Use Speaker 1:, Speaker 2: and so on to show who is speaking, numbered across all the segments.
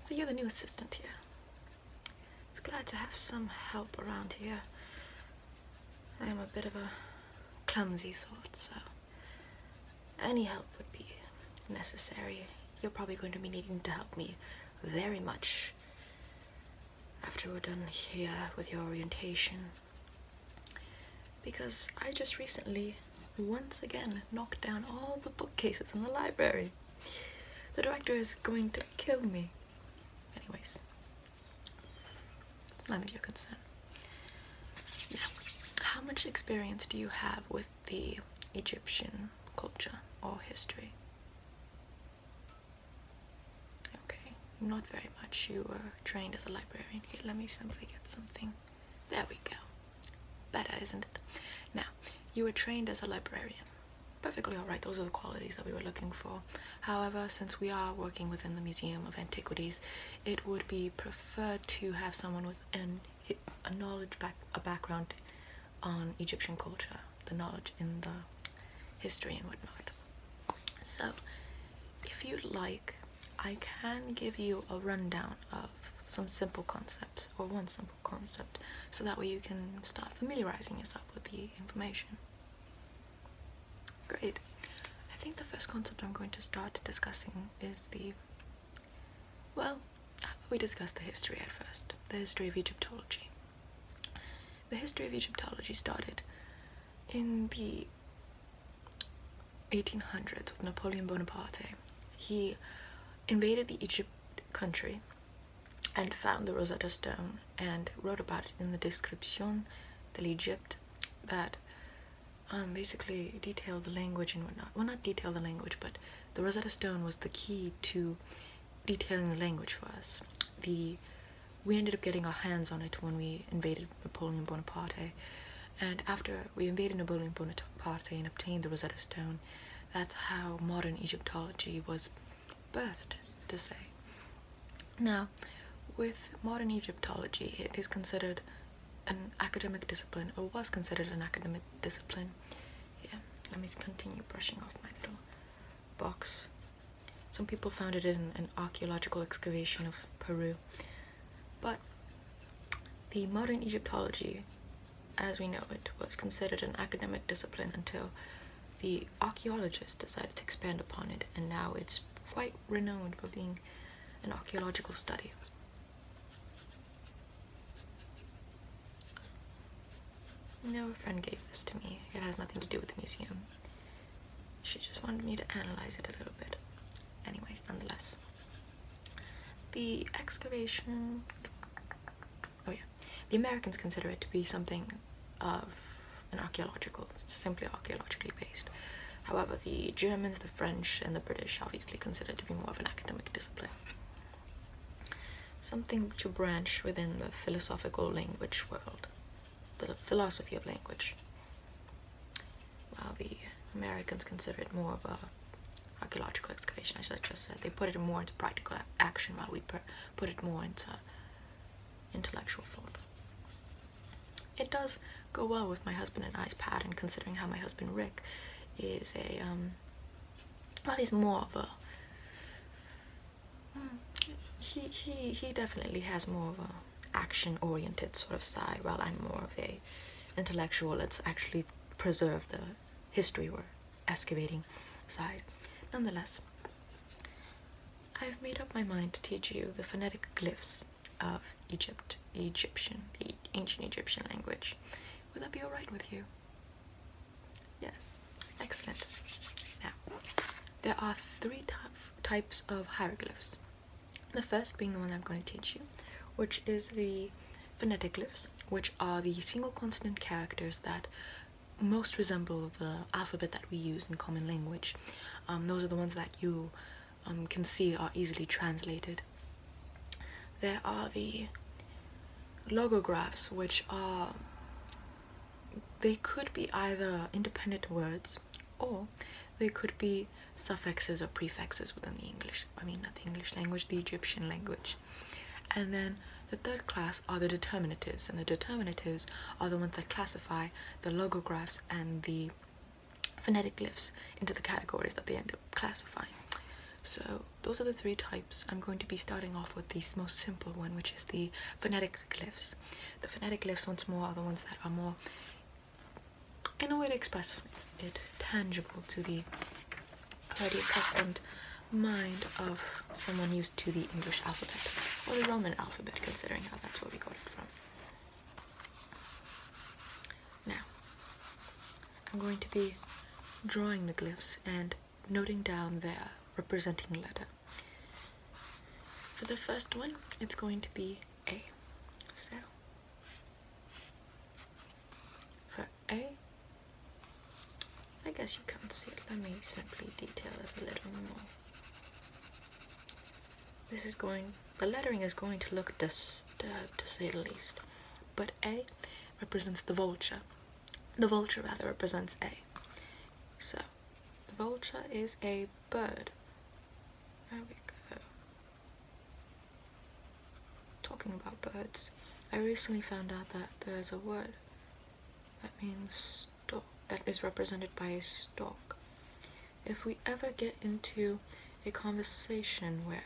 Speaker 1: So you're the new assistant here. It's glad to have some help around here. I am a bit of a clumsy sort, so any help would be necessary. You're probably going to be needing to help me very much after we're done here with your orientation because I just recently once again knocked down all the bookcases in the library. The director is going to kill me. Anyways, it's none of your concern. Now, how much experience do you have with the Egyptian culture or history? Okay, not very much. You were trained as a librarian. Here, let me simply get something. There we go. Better, isn't it? Now, you were trained as a librarian. Perfectly alright, those are the qualities that we were looking for. However, since we are working within the Museum of Antiquities, it would be preferred to have someone with a knowledge, back, a background on Egyptian culture the knowledge in the history and whatnot. So, if you like, I can give you a rundown of some simple concepts or one simple concept so that way you can start familiarizing yourself with the information. Great. I think the first concept I'm going to start discussing is the well, we discussed the history at first, the history of Egyptology. The history of Egyptology started in the 1800s with Napoleon Bonaparte. He invaded the Egypt country and found the Rosetta Stone and wrote about it in the Description de l'Egypte that um, basically detailed the language and whatnot. Well, not detailed the language, but the Rosetta Stone was the key to detailing the language for us. The we ended up getting our hands on it when we invaded Napoleon Bonaparte. And after we invaded Napoleon Bonaparte and obtained the Rosetta Stone, that's how modern Egyptology was birthed, to say. Now, with modern Egyptology, it is considered an academic discipline, or was considered an academic discipline. Yeah, let me continue brushing off my little box some people found it in an archaeological excavation of Peru. But the modern Egyptology, as we know it, was considered an academic discipline until the archaeologists decided to expand upon it, and now it's quite renowned for being an archaeological study. No, a friend gave this to me. It has nothing to do with the museum she just wanted me to analyze it a little bit. Anyways, nonetheless, the excavation. Oh, yeah. The Americans consider it to be something of an archaeological, simply archaeologically based. However, the Germans, the French, and the British obviously consider it to be more of an academic discipline. Something to branch within the philosophical language world the philosophy of language, while the Americans consider it more of a archaeological excavation, as I just said. They put it more into practical action, while we put it more into intellectual thought. It does go well with my husband and I's pattern, considering how my husband Rick is a um, well, he's more of a he he he definitely has more of a action oriented sort of side while i'm more of a intellectual let's actually preserve the history we're excavating side nonetheless i've made up my mind to teach you the phonetic glyphs of egypt egyptian the ancient egyptian language would that be all right with you yes excellent now there are three types types of hieroglyphs. The first being the one I'm going to teach you, which is the phonetic glyphs, which are the single consonant characters that most resemble the alphabet that we use in common language. Um, those are the ones that you um, can see are easily translated. There are the logographs, which are they could be either independent words or they could be suffixes or prefixes within the English, I mean, not the English language, the Egyptian language. And then the third class are the determinatives, and the determinatives are the ones that classify the logographs and the phonetic glyphs into the categories that they end up classifying. So those are the three types. I'm going to be starting off with the most simple one, which is the phonetic glyphs. The phonetic glyphs, once more, are the ones that are more, in a way, to express it tangible to the already accustomed mind of someone used to the English alphabet or the Roman alphabet, considering how that's where we got it from. Now, I'm going to be drawing the glyphs and noting down their representing letter. For the first one, it's going to be A. So, for A, I guess you can't see Let me simply detail it a little more. This is going, the lettering is going to look disturbed to say the least. But A represents the vulture. The vulture rather represents A. So, vulture is a bird. There we go. Talking about birds, I recently found out that there's a word that means stalk, that is represented by a stalk. If we ever get into a conversation where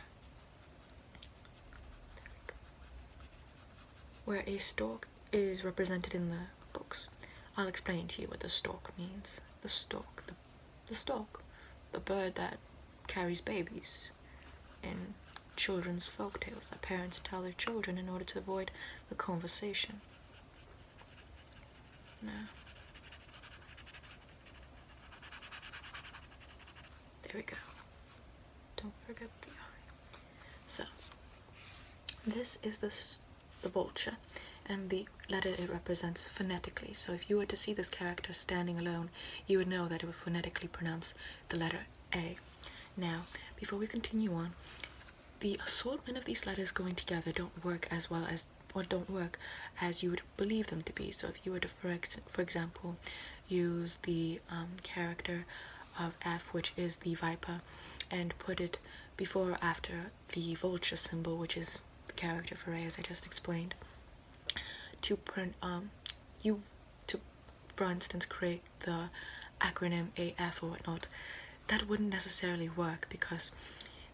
Speaker 1: where a stalk is represented in the books. I'll explain to you what the stork means. The stork, the, the stork, the bird that carries babies in children's folk tales that parents tell their children in order to avoid the conversation. Now, there we go. Don't forget the eye. So, this is the the vulture, and the letter it represents phonetically. So if you were to see this character standing alone, you would know that it would phonetically pronounce the letter A. Now, before we continue on, the assortment of these letters going together don't work as well as or don't work as you would believe them to be. So if you were to, for, example, use the um, character of F, which is the viper, and put it before or after the vulture symbol, which is the character for A, as I just explained, to print um you to, for instance, create the acronym AF or whatnot, that wouldn't necessarily work because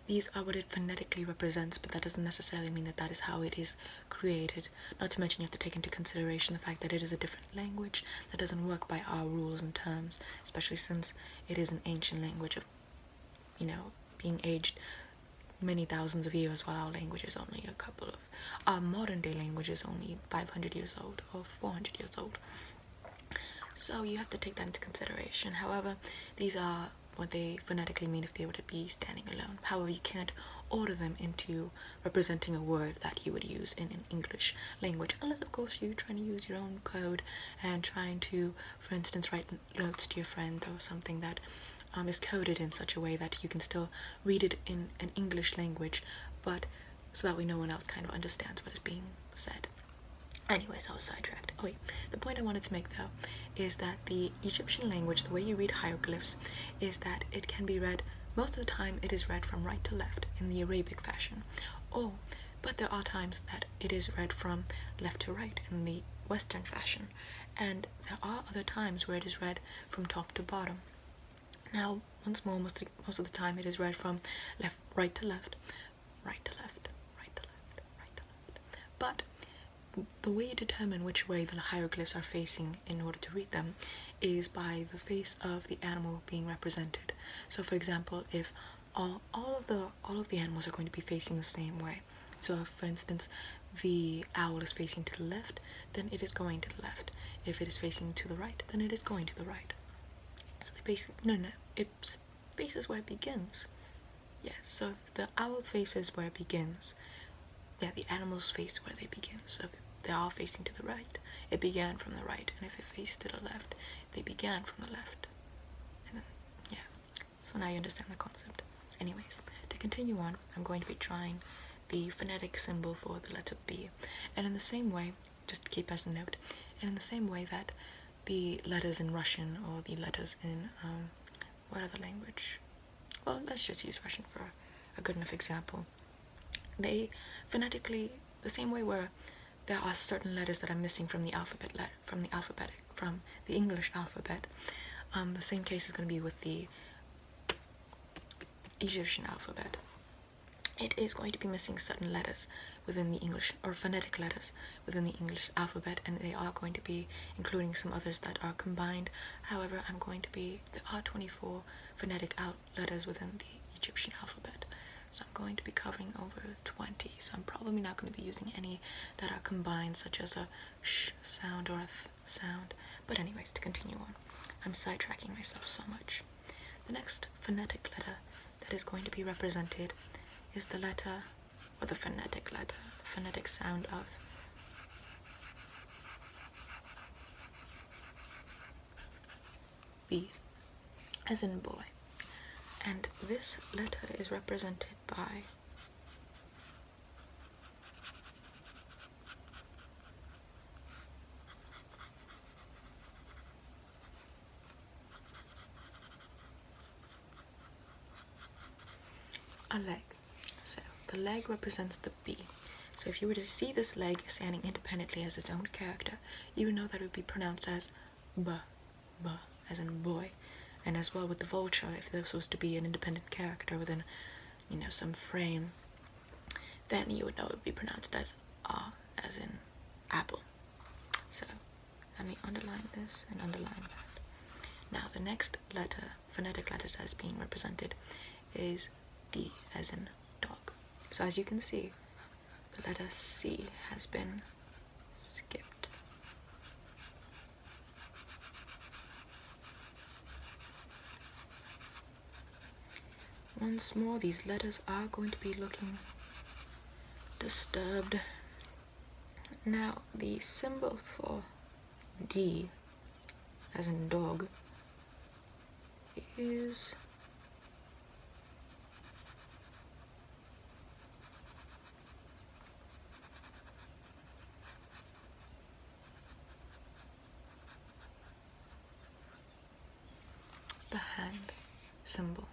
Speaker 1: these are what it phonetically represents, but that doesn't necessarily mean that that is how it is created. Not to mention, you have to take into consideration the fact that it is a different language that doesn't work by our rules and terms, especially since it is an ancient language of, you know, being aged many thousands of years while our language is only a couple of our modern day language is only 500 years old or 400 years old so you have to take that into consideration however these are what they phonetically mean if they were to be standing alone however you can't order them into representing a word that you would use in english language unless of course you're trying to use your own code and trying to for instance write notes to your friend or something that um, is coded in such a way that you can still read it in an English language but so that way no one else kind of understands what is being said. Anyways, I was sidetracked. Oh wait, the point I wanted to make though is that the Egyptian language, the way you read hieroglyphs, is that it can be read, most of the time it is read from right to left in the Arabic fashion. Or but there are times that it is read from left to right in the Western fashion, and there are other times where it is read from top to bottom. Now, once more, most, most of the time it is read from left, right to left, right to left, right to left, right to left. But the way you determine which way the hieroglyphs are facing in order to read them is by the face of the animal being represented. So, for example, if all all of the all of the animals are going to be facing the same way. So for instance, the owl is facing to the left, then it is going to the left. If it is facing to the right, then it is going to the right. So they basically no no it faces where it begins. Yes. so the owl faces where it begins, yeah, the animals face where they begin. So if they are facing to the right, it began from the right, and if it faced to the left, they began from the left. And then, yeah. So now you understand the concept. Anyways, to continue on, I'm going to be trying the phonetic symbol for the letter B. And in the same way, just keep as a note, and in the same way that the letters in Russian or the letters in, um, what other language? Well, let's just use Russian for a good enough example. They phonetically the same way where there are certain letters that are missing from the alphabet letter, from the alphabetic, from the English alphabet. Um, the same case is going to be with the Egyptian alphabet. It is going to be missing certain letters within the English, or phonetic letters within the English alphabet, and they are going to be including some others that are combined. However, I'm going to be, there are 24 phonetic out letters within the Egyptian alphabet. So I'm going to be covering over 20 so I'm probably not going to be using any that are combined such as a sh sound or a f sound but anyways to continue on I'm sidetracking myself so much the next phonetic letter that is going to be represented is the letter or the phonetic letter the phonetic sound of B as in boy. And this letter is represented by a leg. So the leg represents the B. So if you were to see this leg standing independently as its own character, you would know that it would be pronounced as b, b as in boy, and as well with the vulture, if this was to be an independent character within, you know, some frame, then you would know it would be pronounced as ah, as in apple. So let me underline this and underline that. Now the next letter, phonetic letter that is being represented is D as in dog. So as you can see, the letter C has been skipped. Once more, these letters are going to be looking disturbed. Now, the symbol for D, as in dog, is the hand symbol.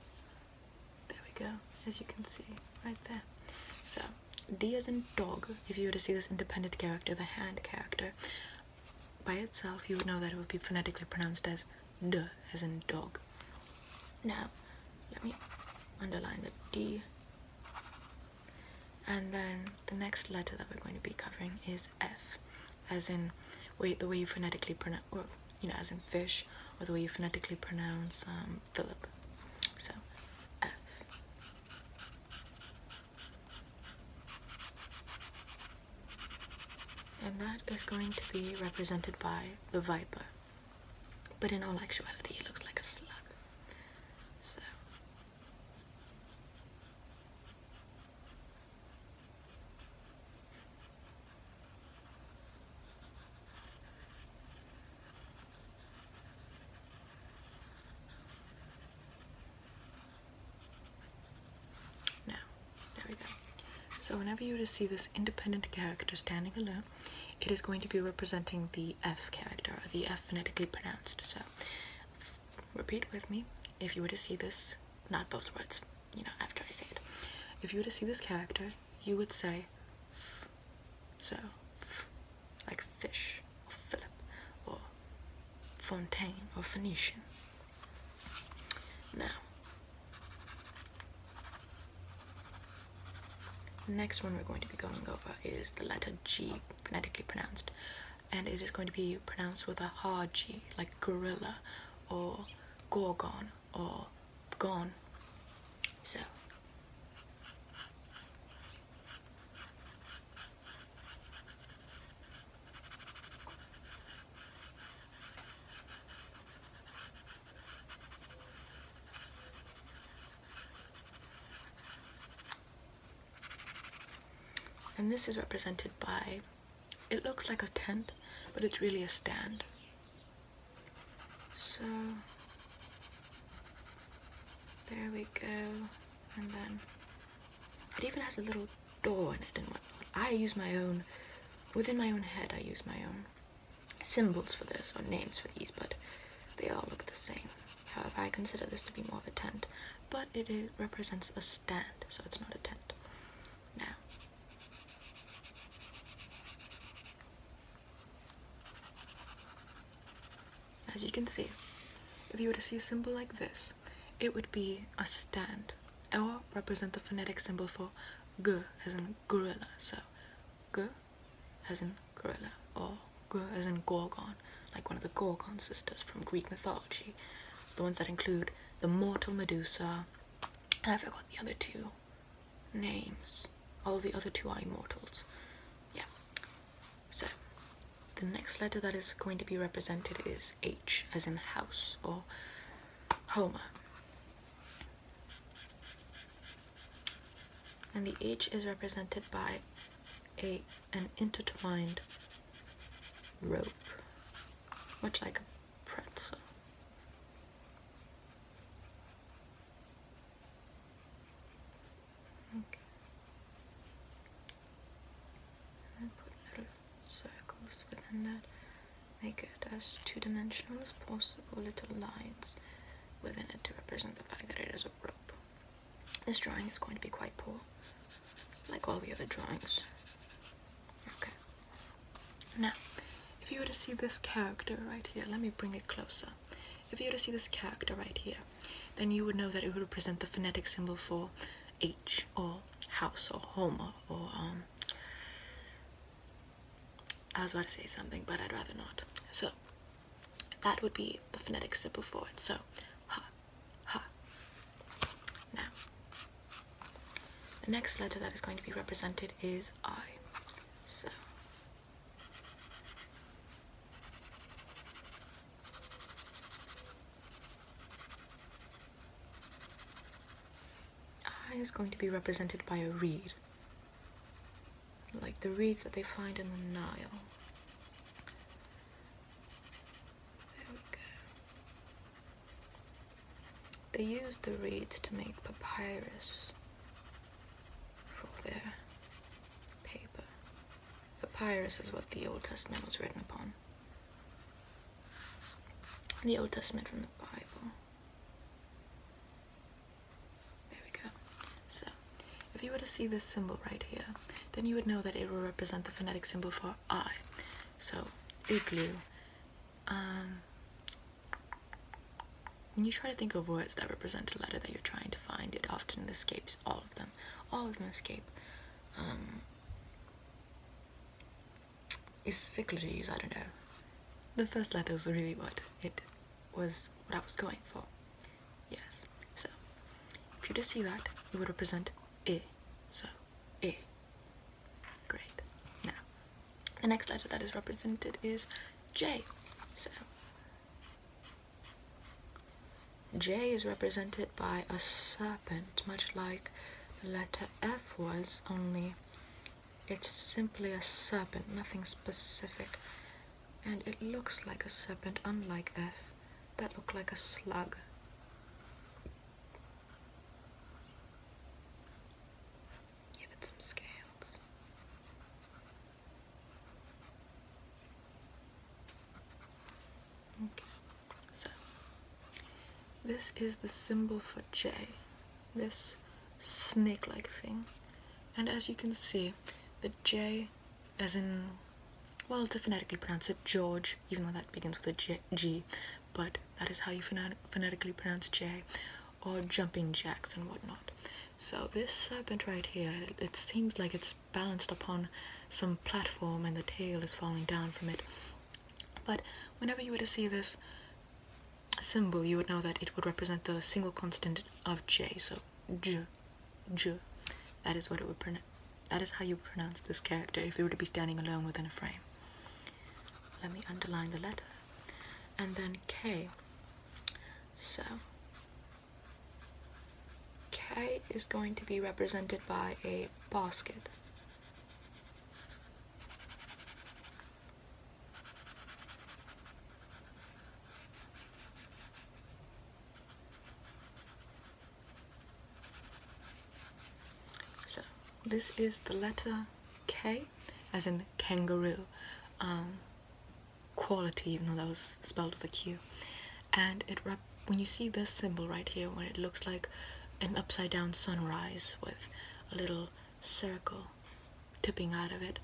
Speaker 1: There we go, as you can see right there. So, D as in dog, if you were to see this independent character, the hand character, by itself you would know that it would be phonetically pronounced as D as in dog. Now, let me underline the D. And then the next letter that we're going to be covering is F, as in the way you phonetically pronounce, you know, as in fish, or the way you phonetically pronounce um, Philip. So, F. And that is going to be represented by the viper. But in all actuality, it looks like a slug. So. There we go. So whenever you just see this independent character standing alone, it is going to be representing the F character, the F phonetically pronounced. So repeat with me. If you were to see this, not those words, you know, after I say it. If you were to see this character, you would say f. So f, like fish, or Philip, or Fontaine, or Phoenician. Now, Next one we're going to be going over is the letter G, phonetically pronounced, and it is going to be pronounced with a hard G, like gorilla, or gorgon, or gone. So. And this is represented by, it looks like a tent, but it's really a stand. So, there we go, and then it even has a little door in it and whatnot. I use my own, within my own head I use my own symbols for this or names for these, but they all look the same. However, I consider this to be more of a tent, but it represents a stand, so it's not a tent. Now, as you can see, if you were to see a symbol like this, it would be a stand, or represent the phonetic symbol for G, as in gorilla. So, g as in gorilla, or g as in gorgon, like one of the Gorgon sisters from Greek mythology, the ones that include the mortal Medusa, and I forgot the other two names. All the other two are immortals. Yeah. So, the next letter that is going to be represented is H, as in house, or Homer. And the H is represented by a an intertwined rope, much like a pretzel. And then put little circles within that Make it as two-dimensional as possible, little lines within it to represent the fact that it is a rope. This drawing is going to be quite poor, like all the other drawings. Okay. Now, if you were to see this character right here, let me bring it closer. If you were to see this character right here, then you would know that it would represent the phonetic symbol for H or house or home or um, I was about to say something, but I'd rather not. So that would be the phonetic symbol for it. So ha, ha. Now, the next letter that is going to be represented is I. So I is going to be represented by a reed, like the reeds that they find in the Nile. There we go. They use the reeds to make papyrus for their paper. Papyrus is what the Old Testament was written upon. The Old Testament from the Bible. There we go. So, if you were to see this symbol right here, then you would know that it will represent the phonetic symbol for I. So, igloo. Um, when you try to think of words that represent a letter that you're trying to find, it often escapes all of them. All of them escape. Um, Isphiclides, I don't know. The first letter is really what it was what I was going for. Yes. So if you just see that, it would represent E. So E. Great. Now the next letter that is represented is J. So J is represented by a serpent, much like the letter F was, only it's simply a serpent, nothing specific. And it looks like a serpent, unlike F. That looked like a slug. Give it some scales. Okay, so this is the symbol for J this snake-like thing. And as you can see, the J, as in, well, to phonetically pronounce it George, even though that begins with a G, but that is how you phonetically pronounce J, or jumping jacks and whatnot. So this serpent right here, it seems like it's balanced upon some platform and the tail is falling down from it. But whenever you were to see this, symbol, you would know that it would represent the single constant of J. So J, J. That is what it would pronounce. That is how you pronounce this character if it were to be standing alone within a frame. Let me underline the letter, and then K. So K is going to be represented by a basket. So this is the letter K, as in kangaroo, um, quality, even though that was spelled with a Q. And it when you see this symbol right here, when it looks like an upside down sunrise with a little circle tipping out of it,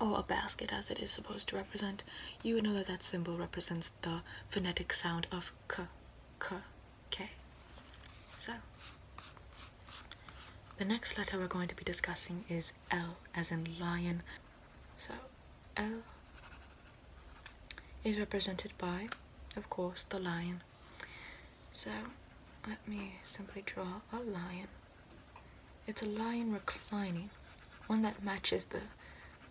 Speaker 1: or a basket as it is supposed to represent, you would know that that symbol represents the phonetic sound of k, k, k. So, the next letter we're going to be discussing is L, as in lion. So, L is represented by, of course, the lion. So let me simply draw a lion. It's a lion reclining, one that matches the,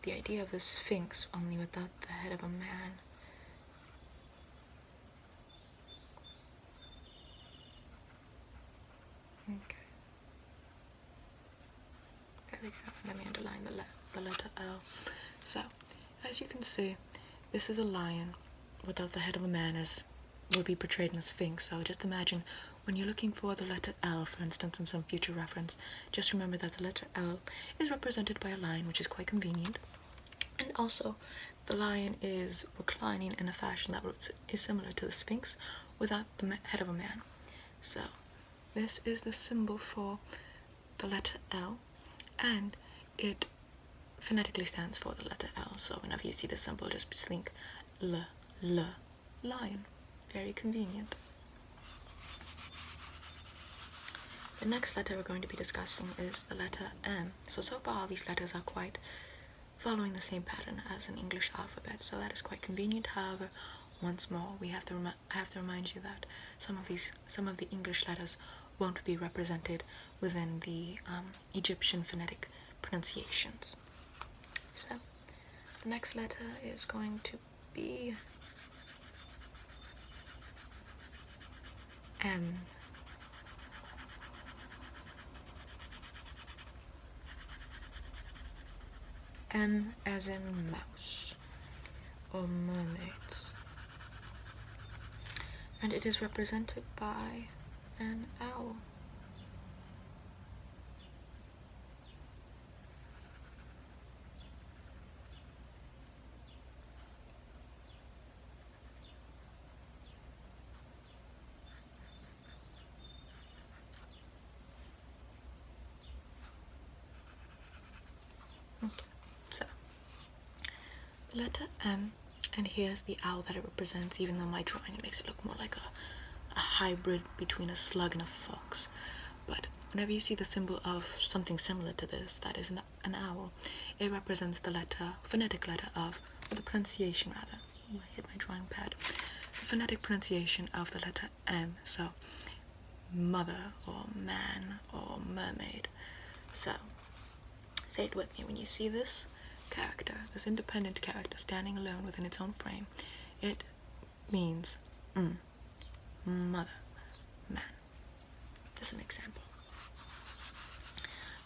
Speaker 1: the idea of the sphinx, only without the head of a man. Okay. There we go. Let me underline the, the letter L. So, as you can see, this is a lion without the head of a man as would be portrayed in a Sphinx. So just imagine when you're looking for the letter L, for instance, in some future reference, just remember that the letter L is represented by a lion, which is quite convenient. And also, the lion is reclining in a fashion that is similar to the Sphinx without the head of a man. So, this is the symbol for the letter L, and it phonetically stands for the letter L. So whenever you see the symbol, just think L, L, lion. Very convenient. The next letter we're going to be discussing is the letter M. So, so far these letters are quite following the same pattern as an English alphabet, so that is quite convenient. However, once more, we have to I have to remind you that some of these, some of the English letters won't be represented within the um, Egyptian phonetic pronunciations. So the next letter is going to be M. M as in mouse or monad, And it is represented by an owl. Okay, so the letter M and here's the owl that it represents even though my drawing makes it look more like a, a hybrid between a slug and a fox but whenever you see the symbol of something similar to this that is an, an owl it represents the letter phonetic letter of the pronunciation rather Ooh, I hit my drawing pad the phonetic pronunciation of the letter M so mother or man or mermaid so Say it with me. When you see this character, this independent character standing alone within its own frame, it means mm, mother, man. Just an example.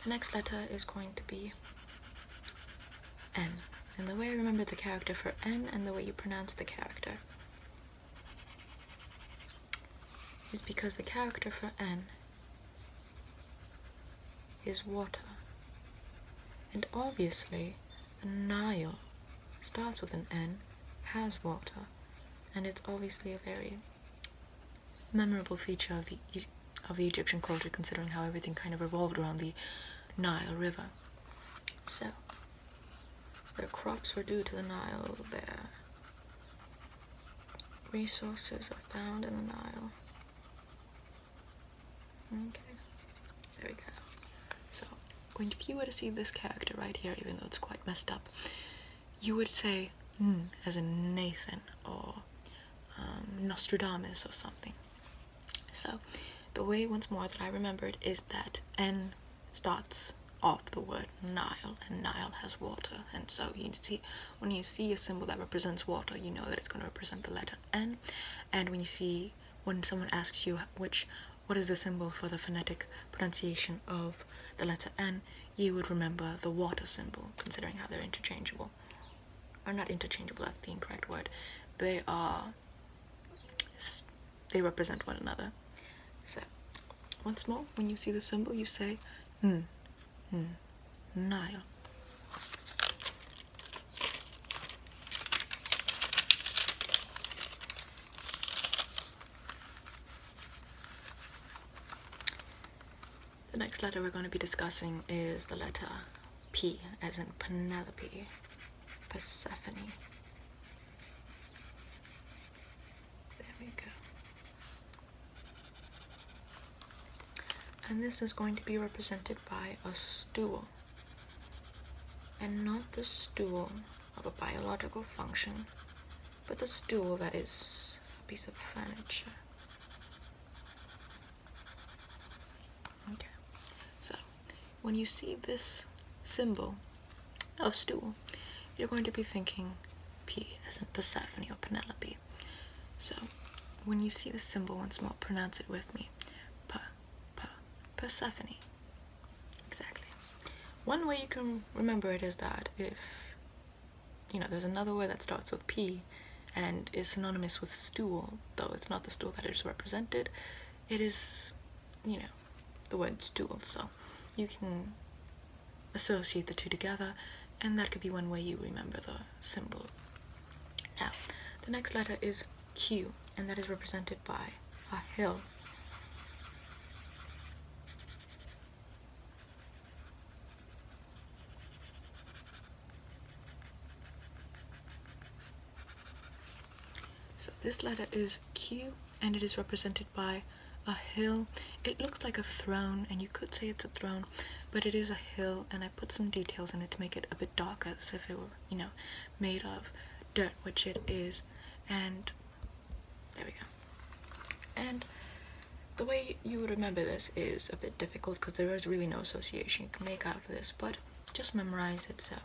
Speaker 1: The next letter is going to be N. And the way I remember the character for N and the way you pronounce the character is because the character for N is water. And obviously, the Nile starts with an N, has water, and it's obviously a very memorable feature of the, of the Egyptian culture, considering how everything kind of revolved around the Nile River. So, their crops were due to the Nile, their resources are found in the Nile. Okay, there we go. So, going to, if you were to see this character right here, even though it's quite messed up, you would say hmm, as in Nathan or um, Nostradamus or something. So, the way once more that I remembered is that N starts off the word Nile, and Nile has water, and so you see when you see a symbol that represents water you know that it's going to represent the letter n and when you see when someone asks you which what is the symbol for the phonetic pronunciation of the letter n you would remember the water symbol considering how they're interchangeable are not interchangeable that's the incorrect word they are they represent one another so once more when you see the symbol you say hmm, hmm. Nile. The next letter we're going to be discussing is the letter P, as in Penelope, Persephone. There we go. And this is going to be represented by a stool. And not the stool of a biological function, but the stool that is a piece of furniture. Okay, so when you see this symbol of stool, you're going to be thinking P as in Persephone or Penelope so when you see the symbol once more, pronounce it with me. P, P, Persephone. Exactly. One way you can remember it is that if, you know, there's another word that starts with P and is synonymous with stool, though it's not the stool that is represented, it is, you know, the word stool, so you can associate the two together, and that could be one way you remember the symbol now, the next letter is Q, and that is represented by a hill. So this letter is Q and it is represented by a hill. It looks like a throne and you could say it's a throne but it is a hill and I put some details in it to make it a bit darker as if it were you know made of dirt which it is and there we go and the way you would remember this is a bit difficult because there is really no association you can make out of this but just memorize it so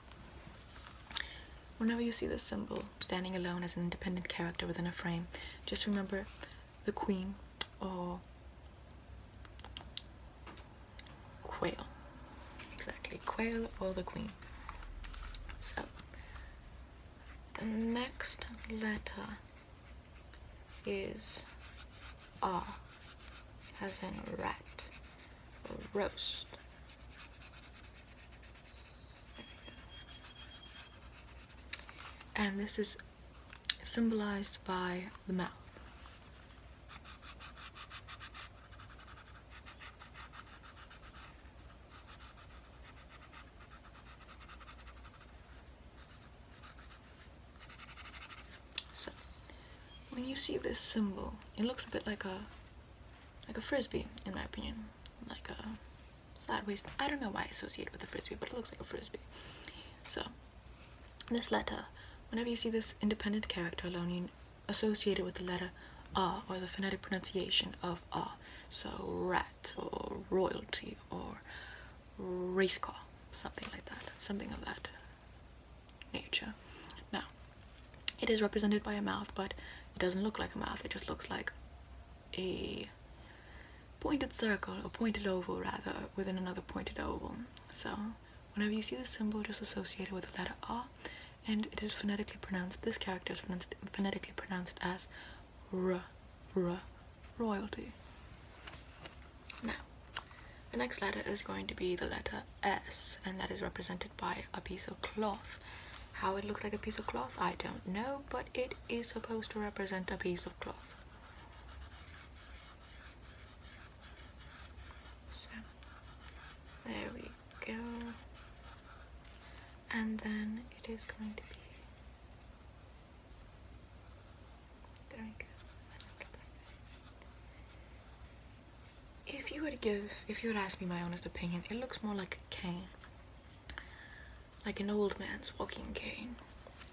Speaker 1: whenever you see this symbol standing alone as an independent character within a frame just remember the queen or quail exactly quail or the queen so the next letter is R as in rat or roast and this is symbolized by the mouth. So, when you see this symbol, it looks a bit like a like a frisbee, in my opinion, like a sideways. I don't know why I associate it with a frisbee, but it looks like a frisbee. So this letter, whenever you see this independent character alone, associated with the letter R or the phonetic pronunciation of R. So rat or royalty or race car, something like that, something of that nature. Now, it is represented by a mouth, but it doesn't look like a mouth. It just looks like a pointed circle or pointed oval rather within another pointed oval so whenever you see the symbol just associated with the letter r and it is phonetically pronounced this character is phonetically pronounced as r r royalty now the next letter is going to be the letter s and that is represented by a piece of cloth how it looks like a piece of cloth i don't know but it is supposed to represent a piece of cloth so there we go. And then it is going to be there we go. If you were to give, if you would ask me my honest opinion, it looks more like a cane. Like an old man's walking cane.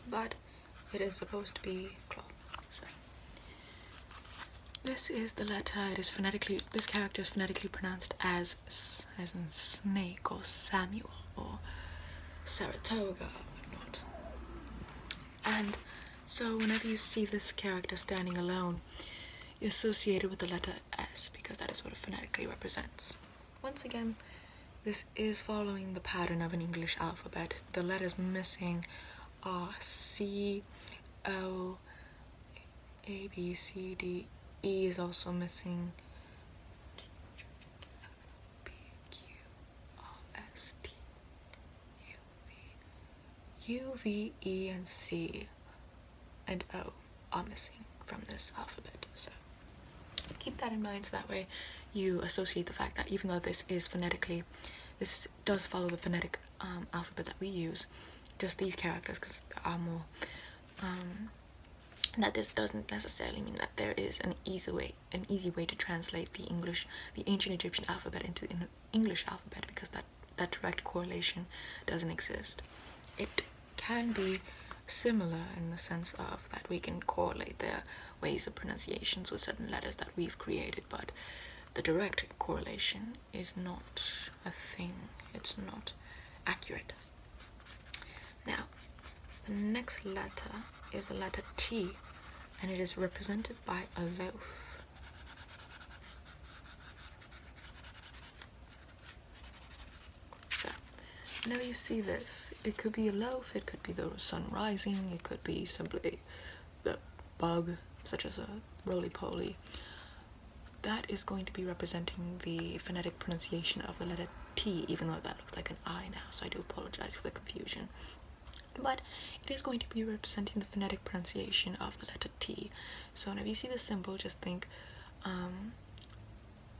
Speaker 1: But it is supposed to be cloth. So this is the letter. It is phonetically. This character is phonetically pronounced as s as in snake or Samuel or Saratoga or whatnot. And so whenever you see this character standing alone, you associate it with the letter S because that is what it phonetically represents. Once again. This is following the pattern of an English alphabet. The letters missing are C, O, A, B, C, D, E is also missing. P, Q, R, S, T, U, V. U, V, E, and C and O are missing from this alphabet. So keep that in mind so that way you associate the fact that even though this is phonetically, this does follow the phonetic um, alphabet that we use, just these characters because there are more, um, that this doesn't necessarily mean that there is an easy way, an easy way to translate the English, the ancient Egyptian alphabet into the English alphabet because that, that direct correlation doesn't exist. It can be similar in the sense of that we can correlate their ways of pronunciations with certain letters that we've created, but the direct correlation is not a thing, it's not accurate. Now, the next letter is the letter T, and it is represented by a loaf. So, whenever you see this, it could be a loaf, it could be the sun rising, it could be simply a bug, such as a roly poly. That is going to be representing the phonetic pronunciation of the letter T, even though that looks like an I now, so I do apologize for the confusion. But it is going to be representing the phonetic pronunciation of the letter T. So whenever you see the symbol, just think um,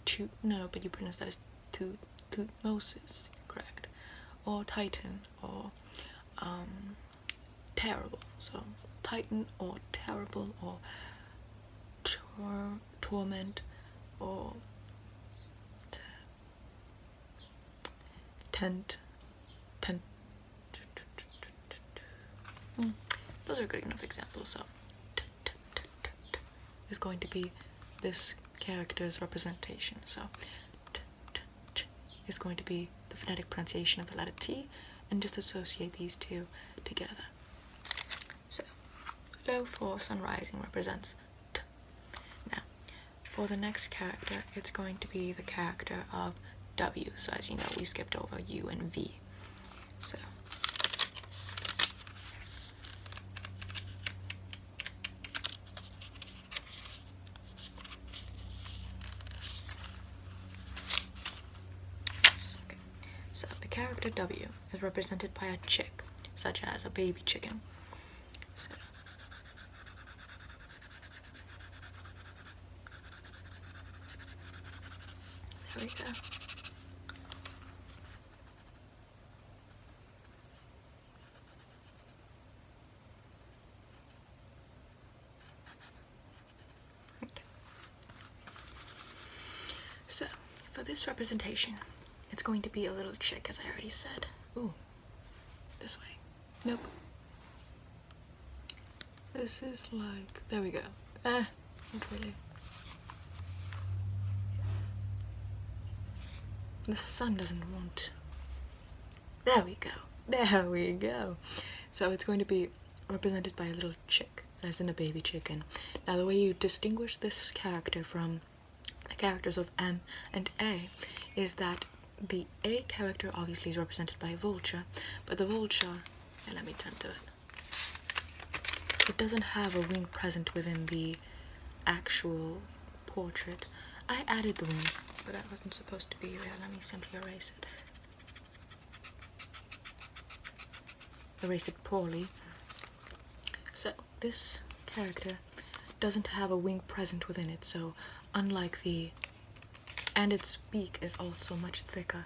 Speaker 1: two, no, but you pronounce that as two Tutmosis, correct, or Titan or um, terrible. So Titan or terrible or torment or tent tent. Hmm, those are good enough examples. So is going to be this character's representation. So is going to be the phonetic pronunciation of the letter T, and just associate these two together. So, low for sun rising represents T. Now, for the next character, it's going to be the character of W. So, as you know, we skipped over U and V. So, so the character W is represented by a chick, such as a baby chicken. there we go. So, for this representation, it's going to be a little chick, as I already said. Ooh, this way. Nope. This is like, there we go. Ah, eh, not really. The sun doesn't want there we go. There we go. So it's going to be represented by a little chick, as in a baby chicken. Now the way you distinguish this character from the characters of M and A is that the A character obviously is represented by a vulture, but the vulture, let me turn to it, it doesn't have a wing present within the actual portrait. I added the wing, but that wasn't supposed to be there. Let me simply erase it. Erase it poorly. So this character doesn't have a wing present within it, so unlike the and its beak is also much thicker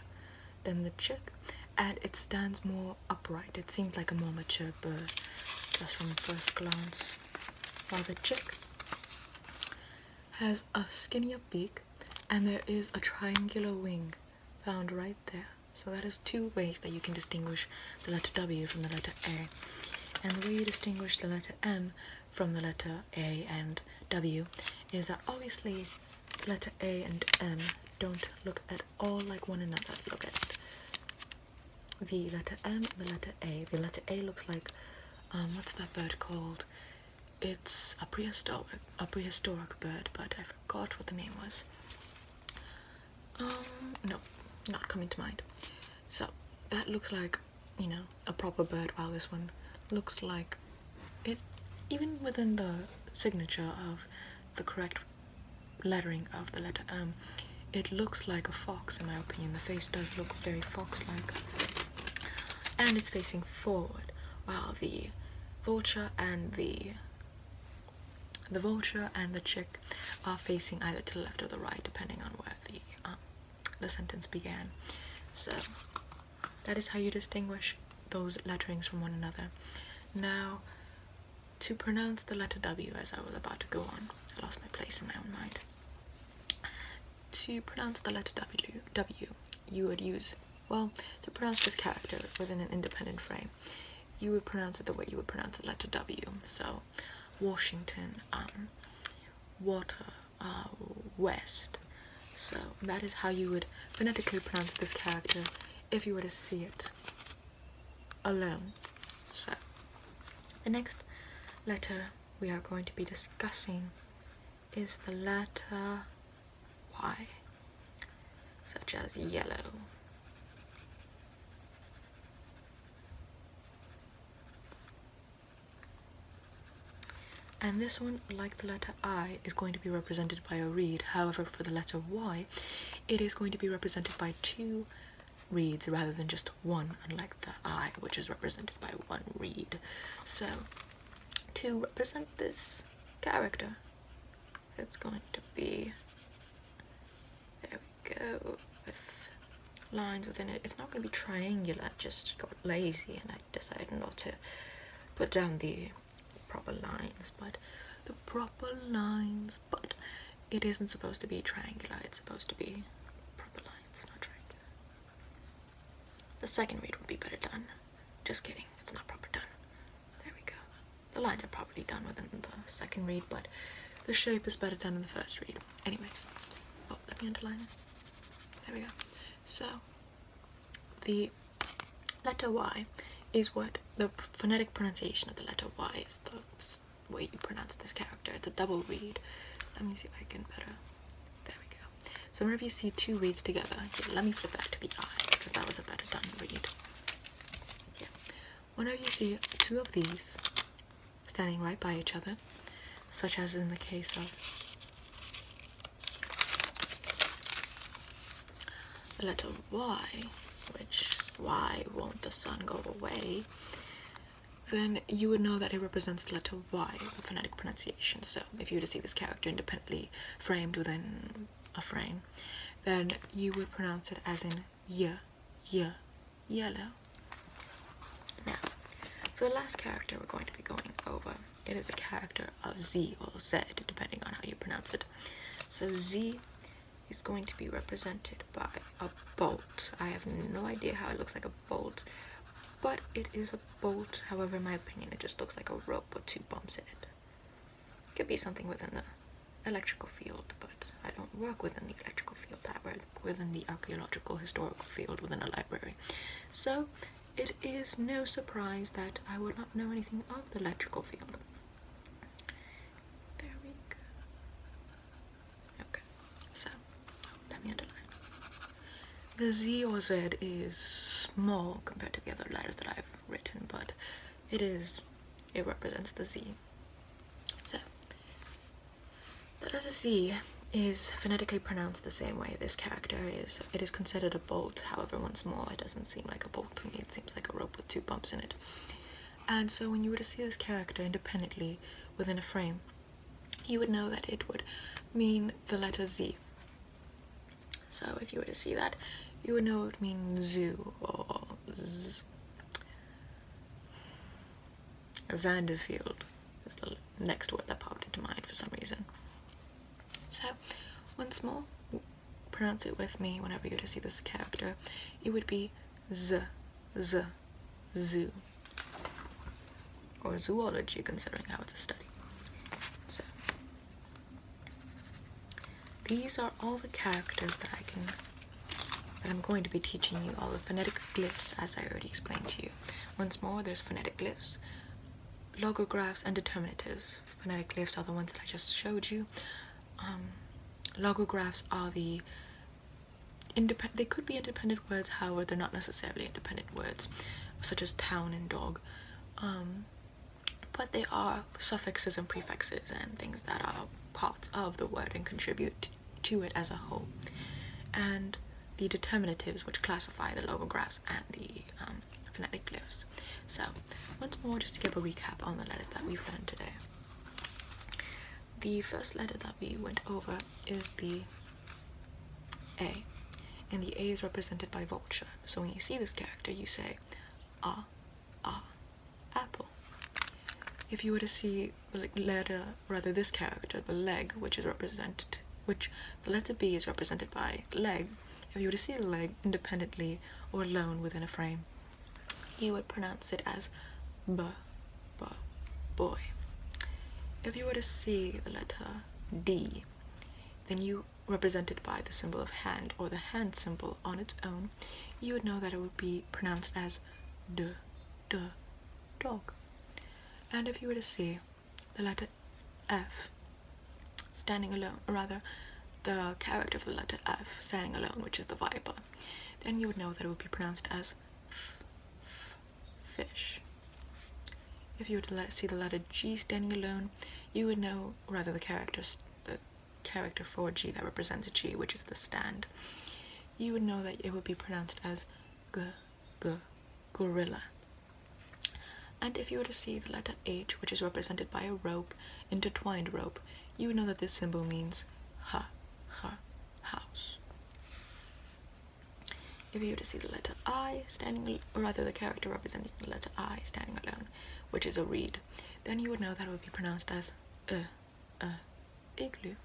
Speaker 1: than the chick and it stands more upright. It seems like a more mature bird just from the first glance while the chick has a skinnier beak and there is a triangular wing found right there. So that is two ways that you can distinguish the letter W from the letter A. And the way you distinguish the letter M from the letter A and W is that obviously letter A and M don't look at all like one another. Look at the letter M the letter A. The letter A looks like um, what's that bird called? It's a prehistoric a prehistoric bird, but I forgot what the name was. Um, no, not coming to mind. So that looks like you know a proper bird, while this one looks like it. Even within the signature of the correct lettering of the letter M, it looks like a fox in my opinion the face does look very fox like and it's facing forward while the vulture and the the vulture and the chick are facing either to the left or the right depending on where the uh, the sentence began so that is how you distinguish those letterings from one another now to pronounce the letter w as i was about to go on i lost my place in my own mind to pronounce the letter W, w you would use, well, to pronounce this character within an independent frame, you would pronounce it the way you would pronounce the letter W. So, Washington, um, water, uh, west. So, that is how you would phonetically pronounce this character if you were to see it alone. So, the next letter we are going to be discussing is the letter Y, such as yellow. And this one, like the letter I, is going to be represented by a reed. However, for the letter Y, it is going to be represented by two reads rather than just one, unlike the eye, which is represented by one reed. So, to represent this character, it's going to be there we go with lines within it. It's not going to be triangular. I just got lazy and I decided not to put down the proper lines, but the proper lines, but it isn't supposed to be triangular. It's supposed to be proper lines. It's not triangular. The second read would be better done. Just kidding, it's not properly done. There we go. The lines are probably done within the second read, but the shape is better done in the first read. Anyways, oh, let me underline it. There we go. So, the letter Y is what the phonetic pronunciation of the letter Y is the way you pronounce this character. It's a double read. Let me see if I can better. There we go. So whenever you see two reads together, let me flip back to the eye because that was a better done read. Yeah. Whenever you see two of these standing right by each other, such as in the case of the letter Y, which why won't the sun go away? then you would know that it represents the letter Y, the phonetic pronunciation. So if you were to see this character independently framed within a frame, then you would pronounce it as in Y, Y, yellow. Now, for the last character we're going to be going over, it is a character of Z or Z, depending on how you pronounce it. So Z is going to be represented by a bolt. I have no idea how it looks like a bolt, but it is a bolt. However, in my opinion, it just looks like a rope with two bumps in it. Could be something within the electrical field, but I don't work within the electrical field. I work within the archaeological historical field within a library. So it is no surprise that I would not know anything of the electrical field. There we go. Okay, so let me underline. The Z or Z is small compared to the other letters that I've written, but it is, it represents the Z. So, that letter Z is phonetically pronounced the same way this character is. It is considered a bolt, however, once more, it doesn't seem like a bolt to me, it seems like a rope with two bumps in it. And so when you were to see this character independently within a frame, you would know that it would mean the letter Z. So if you were to see that, you would know it means zoo or Zanderfield is the next word that popped into mind for some reason. So, once more, pronounce it with me whenever you to see this character. It would be z, z, zoo or zoology considering how it's a study. So these are all the characters that I can that I'm going to be teaching you all the phonetic glyphs as I already explained to you. Once more there's phonetic glyphs, logographs and determinatives. Phonetic glyphs are the ones that I just showed you. Um, logographs are the Independ they could be independent words, however, they're not necessarily independent words, such as town and dog. Um, but they are suffixes and prefixes and things that are parts of the word and contribute to it as a whole. And the determinatives, which classify the logographs and the um, phonetic glyphs. So, once more, just to give a recap on the letters that we've learned today the first letter that we went over is the A, and the A is represented by vulture. So when you see this character, you say, ah, ah, apple. If you were to see the letter, rather this character, the leg, which is represented, which the letter B is represented by leg, if you were to see the leg independently or alone within a frame, you would pronounce it as b, but boy. If you were to see the letter D, then you represented by the symbol of hand or the hand symbol on its own, you would know that it would be pronounced as d, d, dog. And if you were to see the letter F standing alone, or rather the character of the letter F standing alone, which is the viper, then you would know that it would be pronounced as f, f, fish. If you were to see the letter G standing alone, you would know, rather the character, the character for G that represents G, which is the stand, you would know that it would be pronounced as G, G, gorilla. And if you were to see the letter H, which is represented by a rope, intertwined rope, you would know that this symbol means ha, ha, house. If you were to see the letter I standing, or rather the character representing the letter I standing alone, which is a reed, then you would know that it would be pronounced as uh, uh, igloo.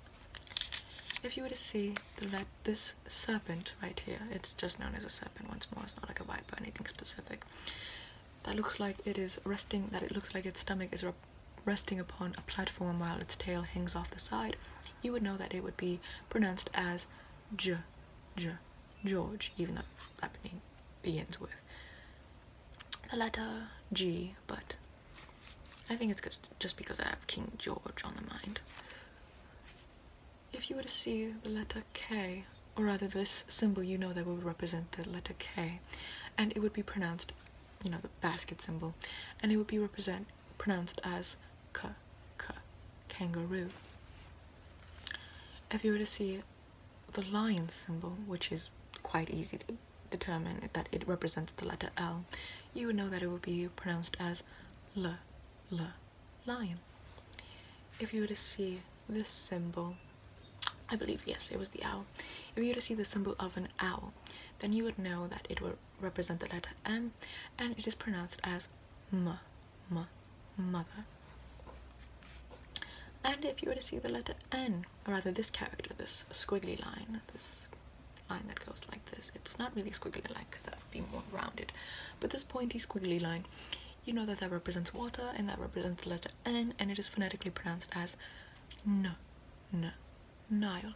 Speaker 1: If you were to see the let this serpent right here, it's just known as a serpent once more, it's not like a viper or anything specific. That looks like it is resting, that it looks like its stomach is resting upon a platform while its tail hangs off the side, you would know that it would be pronounced as J, J, George, even though that begins with the letter G, but I think it's just because I have King George on the mind. If you were to see the letter K, or rather this symbol, you know that would represent the letter K, and it would be pronounced, you know, the basket symbol, and it would be represent pronounced as k, k, kangaroo. If you were to see the lion symbol, which is quite easy to determine that it represents the letter L, you would know that it would be pronounced as le, l, lion. If you were to see this symbol, I believe, yes, it was the owl. If you were to see the symbol of an owl, then you would know that it would represent the letter M and it is pronounced as M, M, mother. And if you were to see the letter N, or rather this character, this squiggly line, this line that goes like this, it's not really a squiggly line because that would be more rounded, but this pointy squiggly line, you know that that represents water and that represents the letter N and it is phonetically pronounced as N, N, nylon.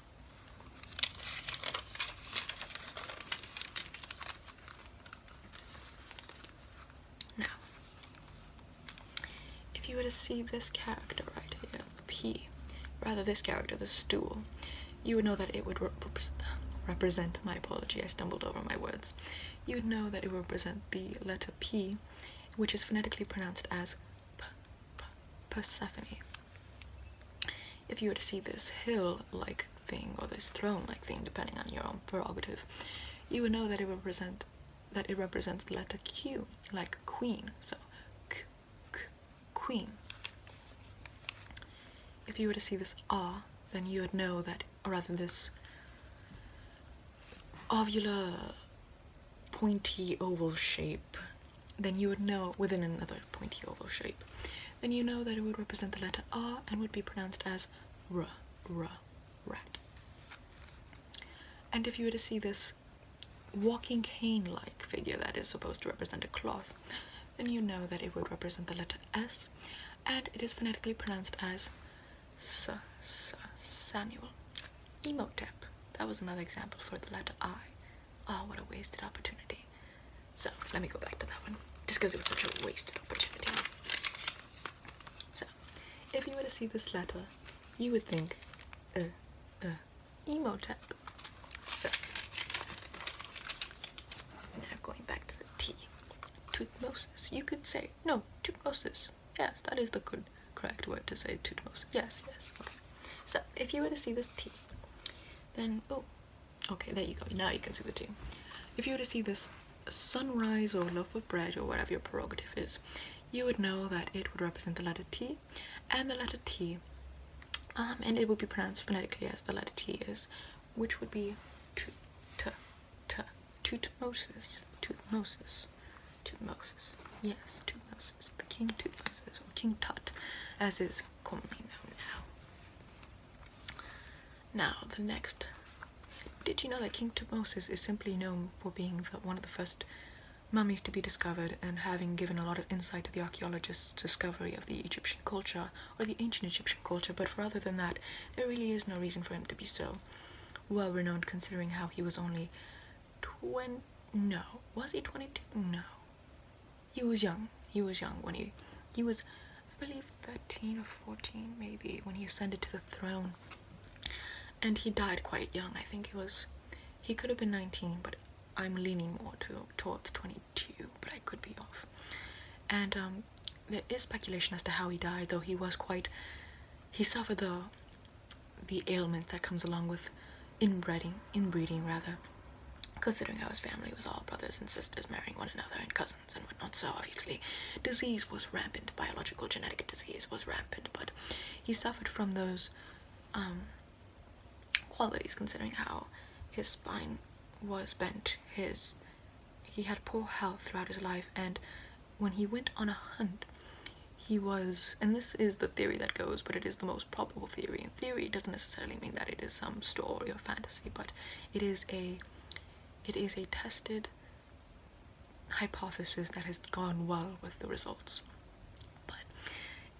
Speaker 1: Now, if you were to see this character right here, the P, rather this character, the stool, you would know that it would represent, my apology, I stumbled over my words, you would know that it would represent the letter P, which is phonetically pronounced as Persephone if you were to see this hill-like thing or this throne-like thing, depending on your own prerogative, you would know that it represent that it represents the letter Q, like queen. So, k, queen. If you were to see this R, then you would know that, rather, this ovular, pointy oval shape then you would know within another pointy oval shape, then you know that it would represent the letter R and would be pronounced as R, rat. And if you were to see this walking cane-like figure that is supposed to represent a cloth, then you know that it would represent the letter S, and it is phonetically pronounced as S, S, Samuel. Emotep. That was another example for the letter I oh what a wasted opportunity so let me go back to that one just because it was such a wasted opportunity so if you were to see this letter you would think uh, uh, emotep so now going back to the T Tutmosis you could say no Tutmosis yes that is the correct word to say Tutmosis yes yes okay so if you were to see this T then oh okay there you go now you can see the T. if you were to see this sunrise or loaf of bread or whatever your prerogative is you would know that it would represent the letter t and the letter t um, and it would be pronounced phonetically as the letter t is which would be tut t tutmosis tutmosis tutmosis yes tutmosis the king tutmosis or king tut as is now. the next. Did you know that King Tutmosis is simply known for being one of the first mummies to be discovered and having given a lot of insight to the archaeologists' discovery of the Egyptian culture or the ancient Egyptian culture, but for other than that, there really is no reason for him to be so well renowned considering how he was only 20. No. Was he 22? No he was young. He was young when he he was I believe 13 or 14 maybe when he ascended to the throne. And he died quite young. I think he was he could have been 19, but I'm leaning more to towards 22, but I could be off. And um, there is speculation as to how he died, though he was quite he suffered the the ailment that comes along with inbreeding inbreeding rather considering how his family was all brothers and sisters marrying one another and cousins and whatnot so obviously disease was rampant biological genetic disease was rampant but he suffered from those um, qualities considering how his spine was bent his he had poor health throughout his life and when he went on a hunt he was and this is the theory that goes but it is the most probable theory. In theory, it doesn't necessarily mean that it is some story or fantasy, but it is a it is a tested hypothesis that has gone well with the results. But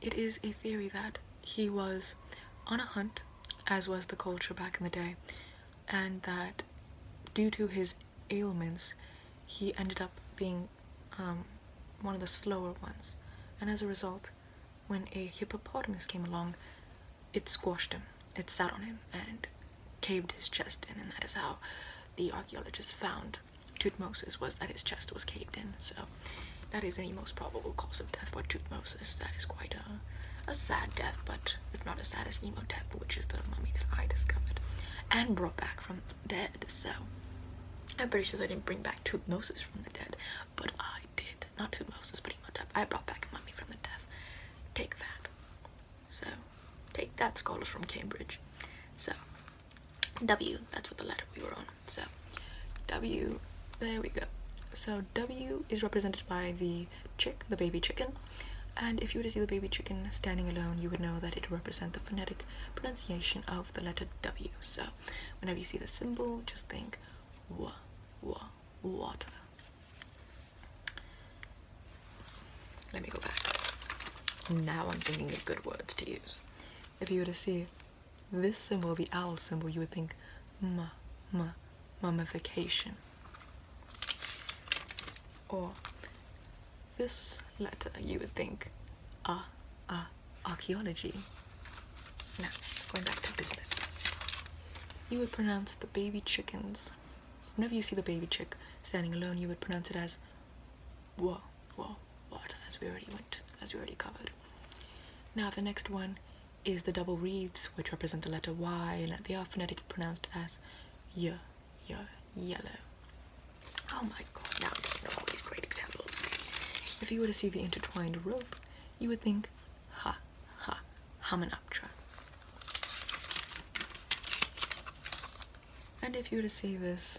Speaker 1: it is a theory that he was on a hunt, as was the culture back in the day, and that due to his ailments, he ended up being um, one of the slower ones. And as a result, when a hippopotamus came along it squashed him it sat on him and caved his chest in and that is how the archaeologists found Tutmosis was that his chest was caved in so that is the most probable cause of death for Tutmosis that is quite a, sad death but it's not the saddest as death, which is the mummy that I discovered and brought back from the dead so I'm pretty sure they didn't bring back Tutmosis from the dead but I did. Not to Moses, but Imhotep. I brought back a mummy from the death. Take that. So, take that. Scholars from Cambridge. So, W. That's what the letter we were on. So, W. There we go. So W is represented by the chick, the baby chicken. And if you were to see the baby chicken standing alone, you would know that it represents the phonetic pronunciation of the letter W. So whenever you see the symbol, just think wa wa water. Let me go back. Now I'm thinking of good words to use. If you were to see this symbol, the owl symbol, you would think ma ma mummification. Or this letter, you would think ah ah archaeology. Now, going back to business. You would pronounce the baby chickens. Whenever you see the baby chick standing alone, you would pronounce it as whoa, whoa, what, as we already went, as we already covered. Now the next one is the double reeds, which represent the letter Y, and they are phonetically pronounced as y, y, yellow. Oh my god, now you know all these great examples. If you were to see the intertwined rope, you would think, ha, ha, Hamanoptera. And if you were to see this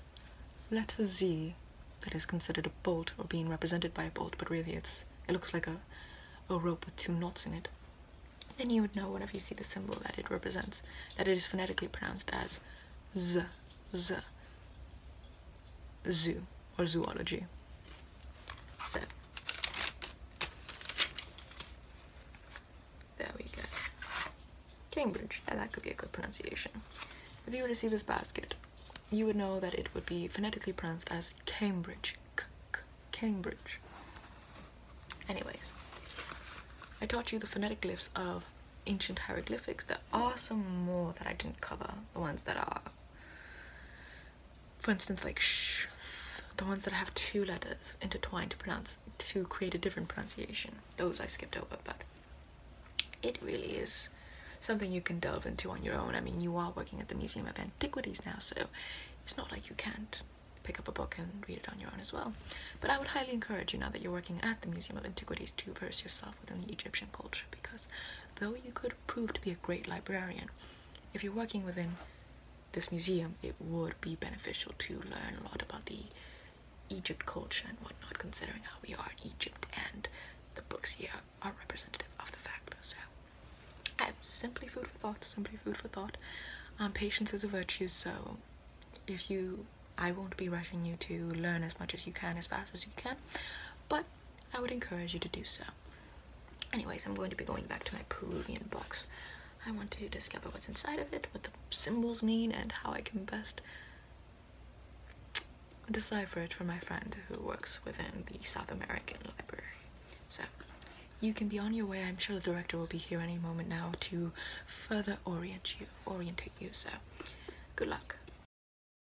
Speaker 1: letter Z that is considered a bolt or being represented by a bolt, but really it's it looks like a, a rope with two knots in it, then you would know whenever you see the symbol that it represents that it is phonetically pronounced as Z z zoo or zoology. So there we go. Cambridge, and that could be a good pronunciation. If you were to see this basket, you would know that it would be phonetically pronounced as Cambridge. Cambridge. Anyways, I taught you the phonetic glyphs of ancient hieroglyphics. There are some more that I didn't cover, the ones that are for instance like sh the ones that have two letters intertwined to pronounce to create a different pronunciation those i skipped over but it really is something you can delve into on your own i mean you are working at the museum of antiquities now so it's not like you can't pick up a book and read it on your own as well but i would highly encourage you now that you're working at the museum of antiquities to immerse yourself within the egyptian culture because though you could prove to be a great librarian, if you're working within this museum, it would be beneficial to learn a lot about the Egypt culture and whatnot, considering how we are in Egypt and the books here are representative of the fact. So, simply food for thought, simply food for thought. Um, patience is a virtue, so if you, I won't be rushing you to learn as much as you can, as fast as you can, but I would encourage you to do so. Anyways, I'm going to be going back to my Peruvian box. I want to discover what's inside of it, what the symbols mean, and how I can best decipher it from my friend who works within the South American library. So, you can be on your way. I'm sure the director will be here any moment now to further orient you, orientate you. So, good luck.